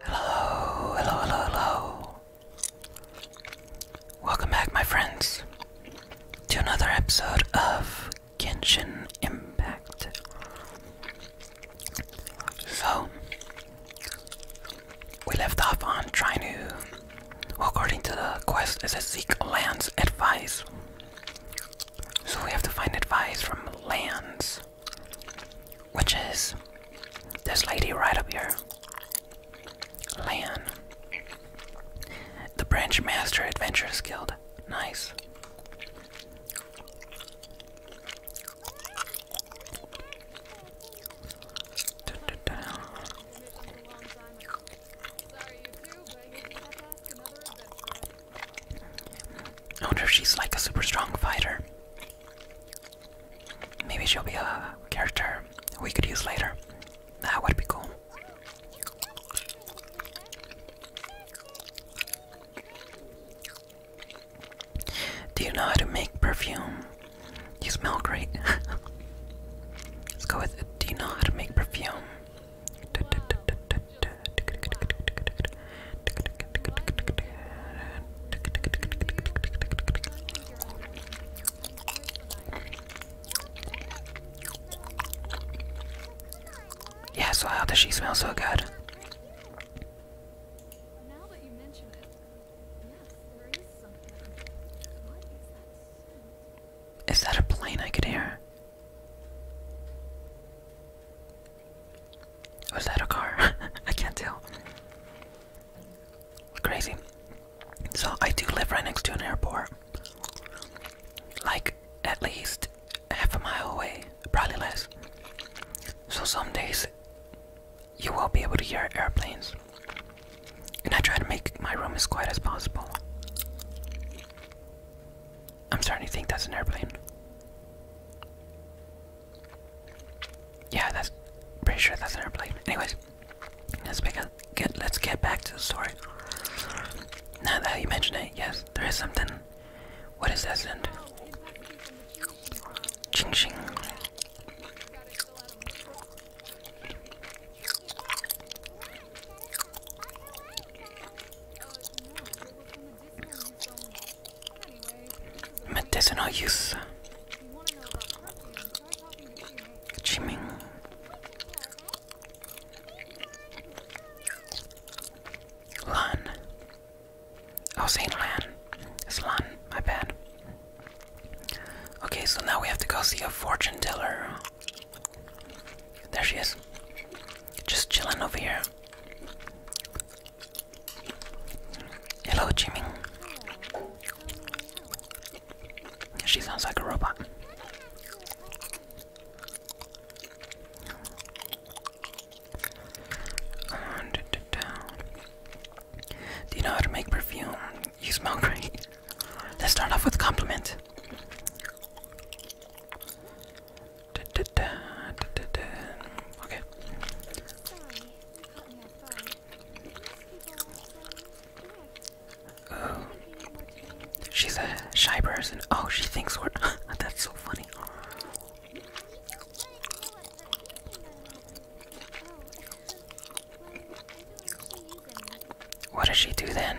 Hello, hello, hello, hello. Welcome back, my friends, to another episode of Genshin Impact. So, we left off on trying to, according to the quest, is a seek Land's advice. So we have to find advice from Lance, which is this lady right up here. Lan. The Branch Master Adventurers Guild. Nice. I wonder if she's like a super strong fighter. Maybe she'll be a character we could use later. That would be cool. Do you know how to make perfume? You smell great. Let's go with. Do you know how to make perfume? Yeah, so how does she smell so good? Is that a plane I could hear? Was that a car? I can't tell. Crazy. So I do live right next to an airport. Like at least half a mile away, probably less. So some days you will be able to hear airplanes. And I try to make my room as quiet as possible. I'm starting to think that's an airplane. Yeah, that's pretty sure that's an airplane. Anyways, let's get let's get back to the story. Now that you mention it, yes, there is something. What is that scent? Ching ching. Medicinal Chiming. Lan. Oh, Saint Lan. It's Lan. My bad. Okay, so now we have to go see a fortune teller. There she is. Just chilling over here. Hello, Jimmy. She sounds like a robot. Do you know how to make perfume? You smell great. Let's start off with compliment. Okay. Oh. she's a shy person. Oh, she thinks we're. That's so funny. What does she do then?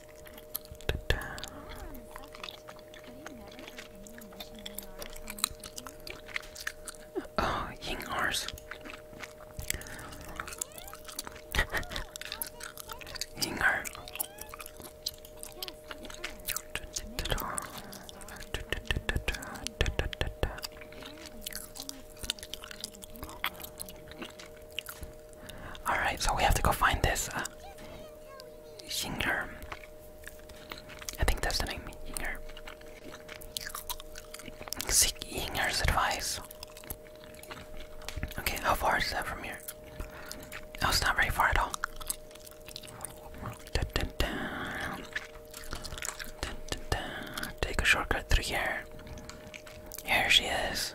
Ta -ta. Oh, Ying Ars. Alright, so we have to go find this uh, I think that's the name, Yinger. Seek Yinger's advice. Okay, how far is that from here? Oh, was not very far at all. Take a shortcut through here. Here she is.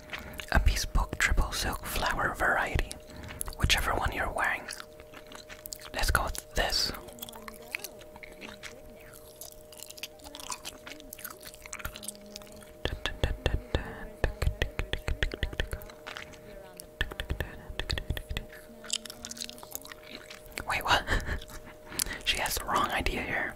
a bespoke triple silk flower variety, whichever one you're wearing. Let's go with this. Wait, what? she has the wrong idea here.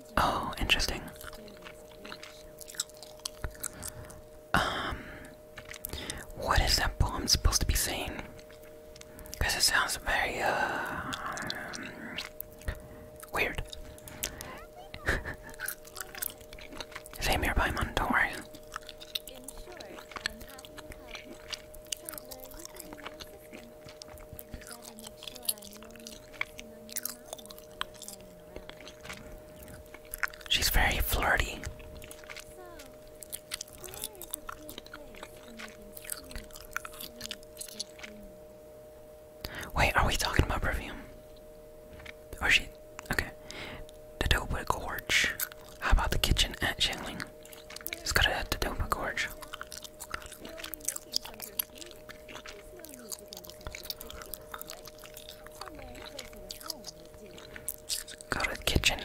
Oh, interesting. Um, what is that poem supposed to be saying? Because it sounds very, uh, um, weird. Same here, Paimon, don't worry. She's very flirty. Wait, are we talking about perfume? Or she okay. The Dopa Gorge. How about the kitchen at Shanglin? It's got a Dopa Gorge. Go to kitchen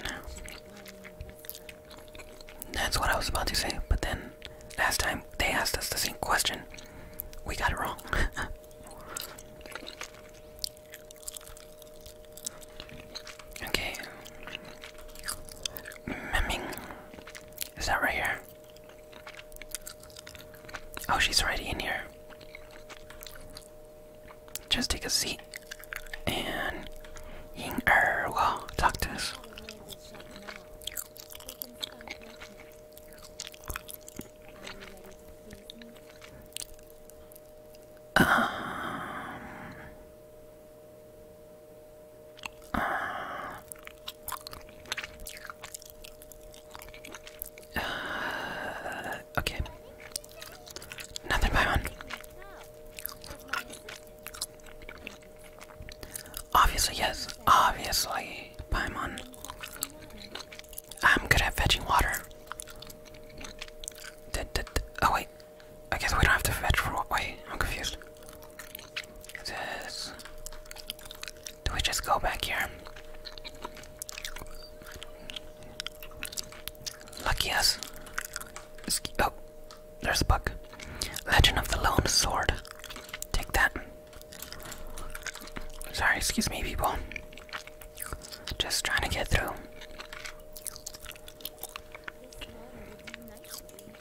That's what I was about to say, but then last time they asked us the same question. We got it wrong. okay. Memming. Is that right here? Oh, she's already in here. Just take a seat and Ying Er will talk uh, okay. Nothing by Obviously, yes. Obviously, Paimon. I'm good at fetching water. D -d oh, wait. I guess we don't have to fetch for. Wait, I'm confused. This. Do we just go back here? Lucky us. Oh, there's a bug. Legend of the Lone Sword. Take that. Sorry, excuse me, people. Just trying to get through.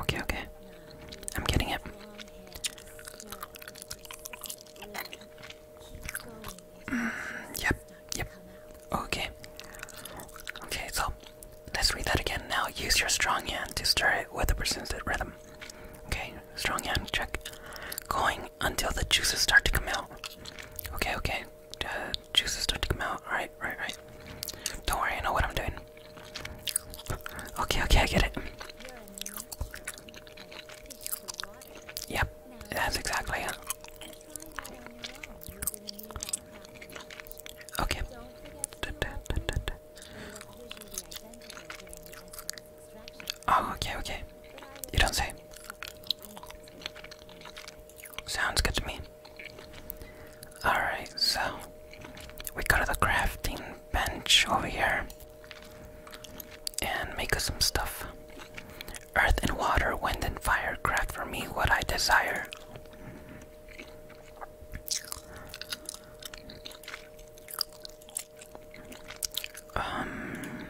Okay, okay. I'm getting it. Mm, yep, yep. Okay. Okay, so let's read that again. Now use your strong hand to stir it with a persistent rhythm. Okay, strong hand, check. Going until the juices start to come out. Okay, okay. Uh, juices start to come out. Alright, right, right. Don't worry, I know what I'm doing. Okay, okay, I get it. Yep, that's exactly it. Okay. Oh, okay, okay. You don't say. Sounds good to me. Alright, so we go to the crafting bench over here and make us some stuff. Earth and water, wind and fire, craft for me what I desire. Um,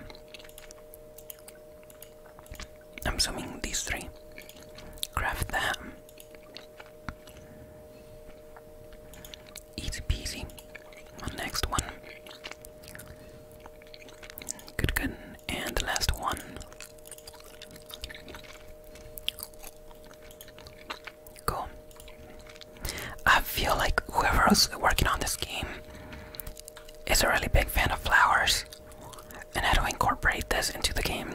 I'm assuming these three. Craft them. Easy peasy. next one. Good, good. And the last one. Cool. I feel like whoever's working on this game is a really big fan of flowers, and how to incorporate this into the game.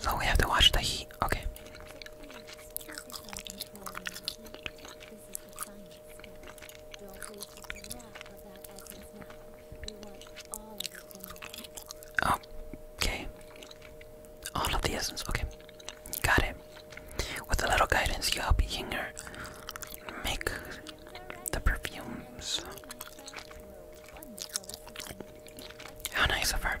So we have to watch the heat. Okay. Okay. All of the essence. Okay. Got it. With a little guidance, you help Yinger make the perfumes. How nice of her.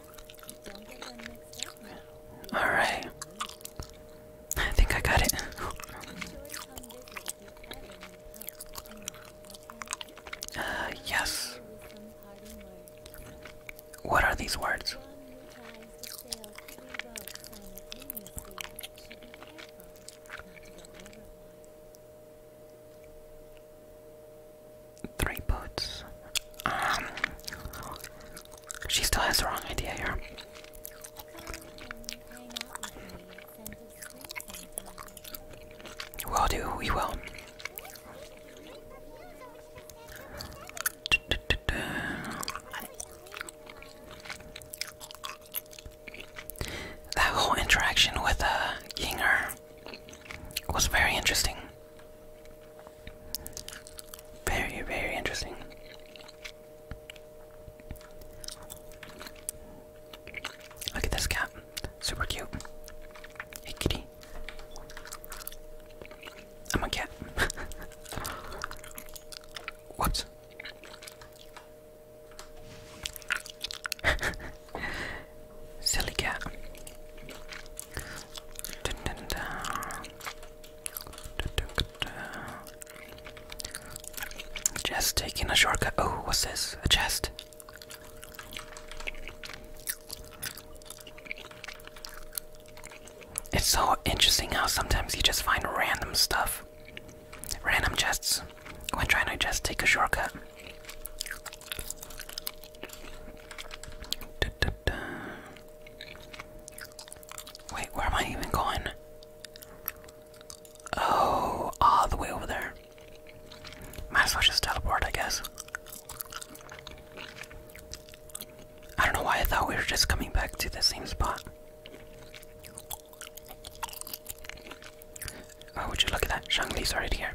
Alright. I think I got it. Uh, yes. What are these words? three boots. Um, she still has the wrong idea here. We'll do, we will. That whole interaction with uh, Yinger was very interesting. Very, very interesting. Look at this cat. Super cute. Hey, kitty. I'm a cat. Whoops. Silly cat. Just taking a shortcut. Oh, what's this? A chest. It's so interesting how sometimes you just find random stuff, random chests, when trying to just take a shortcut. Wait, where am I even going? Oh, all the way over there. Might as well just teleport, I guess. I don't know why I thought we were just coming back to the same spot. Oh, would you look at that? Shangri Li's right here.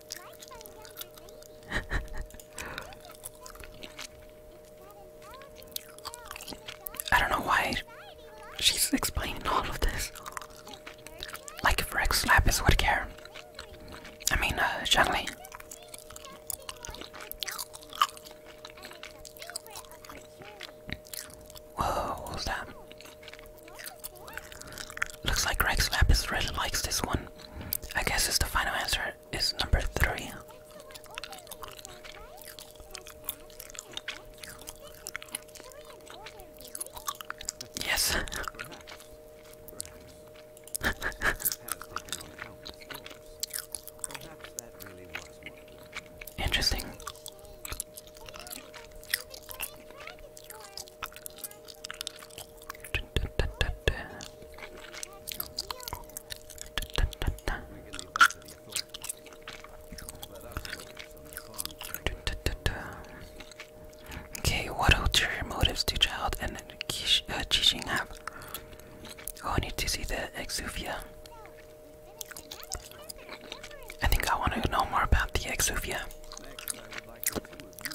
I don't know why she's explaining all of this. Like if Rex Lapis would care. I mean, uh, Whoa, what was that? Looks like Rex Lapis really likes this one. I guess the final answer is number three. Yes. Interesting. Okay, what are your motives do Child and uh, Qixing uh, have? Oh, I need to see the Exuvia. I think I want to know more about the Exuvia.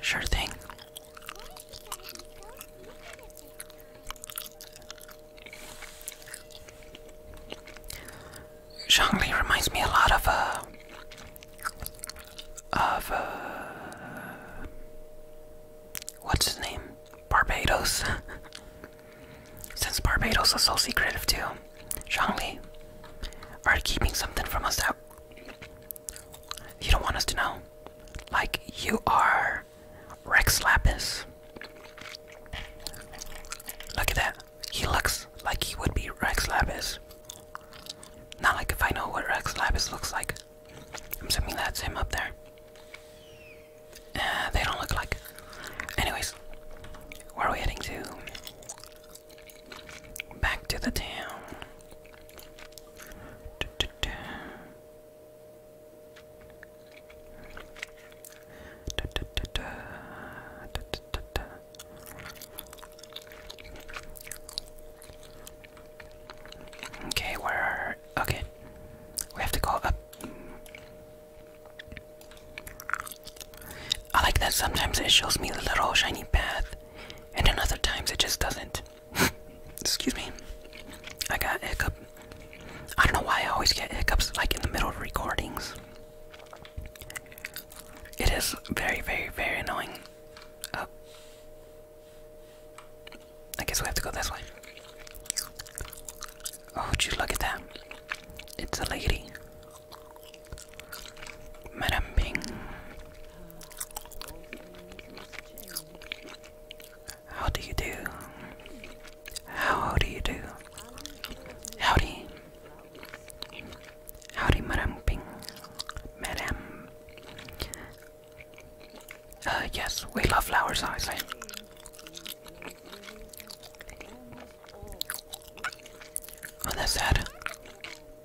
Sure thing. Zhongli reminds me a lot of uh of uh what's his name? Barbados. Since Barbados is so secretive too, Zhongli are keeping something from us out. You don't want us to know. Like you are Rex Lapis. Look at that. He looks like he would be Rex Lapis. Not like if I know what Rex Lapis looks like. I'm assuming that's him up there. Uh, they don't look like. Anyways, where are we heading to? Back to the town. Okay, where are okay. We have to go up. I like that sometimes it shows me the little shiny path, and then other times it just doesn't. Excuse me. I got hiccup. I don't know why I always get hiccups like in the middle of recordings. It is very, very, very annoying. Uh, I guess we have to go this way. Oh, would you look at that? It's a lady. Madam Bing. How do you do? How do you do? Howdy. Howdy, Madam Ping. Madam. Uh, yes, we love flowers, obviously. Oh, that's sad.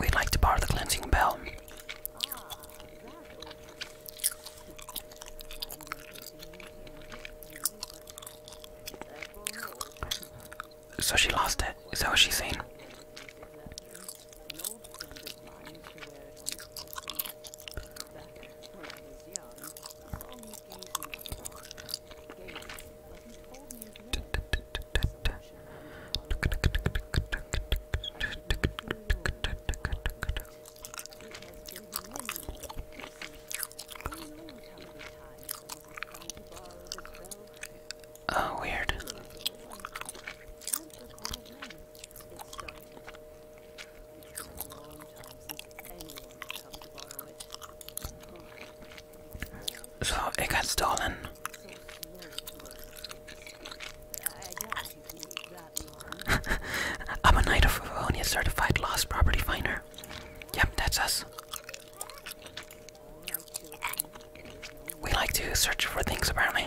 We'd like to borrow the cleansing bell. So she lost it. Is that what she's saying? Oh, weird. So it got stolen. I'm a Knight of Livonia certified lost property finder. Yep, that's us. We like to search for things apparently.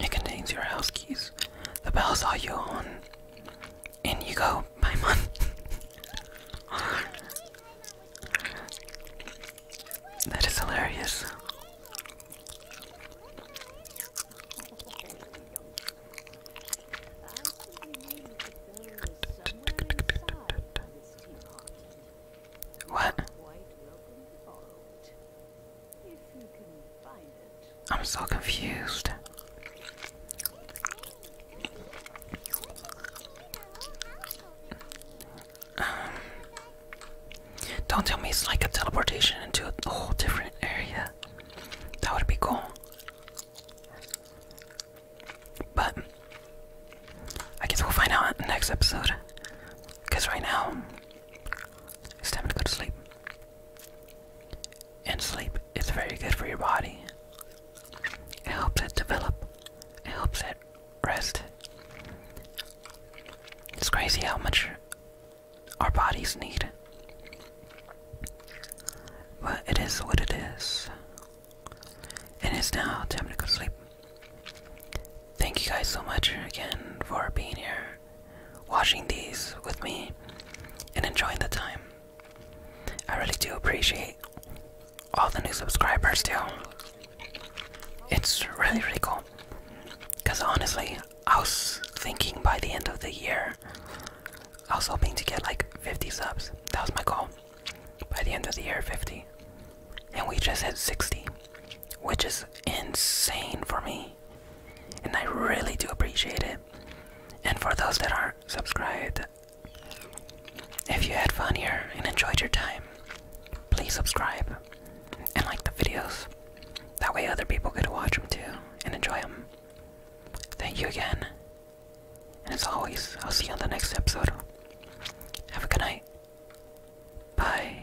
It contains your house keys. The bells are you on. In you go, bye, mom. that is hilarious. What? I'm so confused. Um, don't tell me it's like a teleportation into a whole different area. That would be cool. But I guess we'll find out in the next episode. Because right now, it's time to go to sleep. And sleep is very good for your body. It helps it develop. It helps it rest. It's crazy how much our bodies need. But it is what it is. And it's now time to go to sleep. Thank you guys so much again for being here watching these with me, and enjoying the time. I really do appreciate all the new subscribers, too. It's really, really cool. Because honestly, I was thinking by the end of the year, I was hoping to get like 50 subs. That was my goal. By the end of the year, 50. And we just hit 60 which is insane for me. And I really do appreciate it. And for those that are not subscribed, if you had fun here and enjoyed your time, please subscribe and like the videos. That way, other people could watch them too and enjoy them. Thank you again. And as always, I'll see you on the next episode. Have a good night. Bye.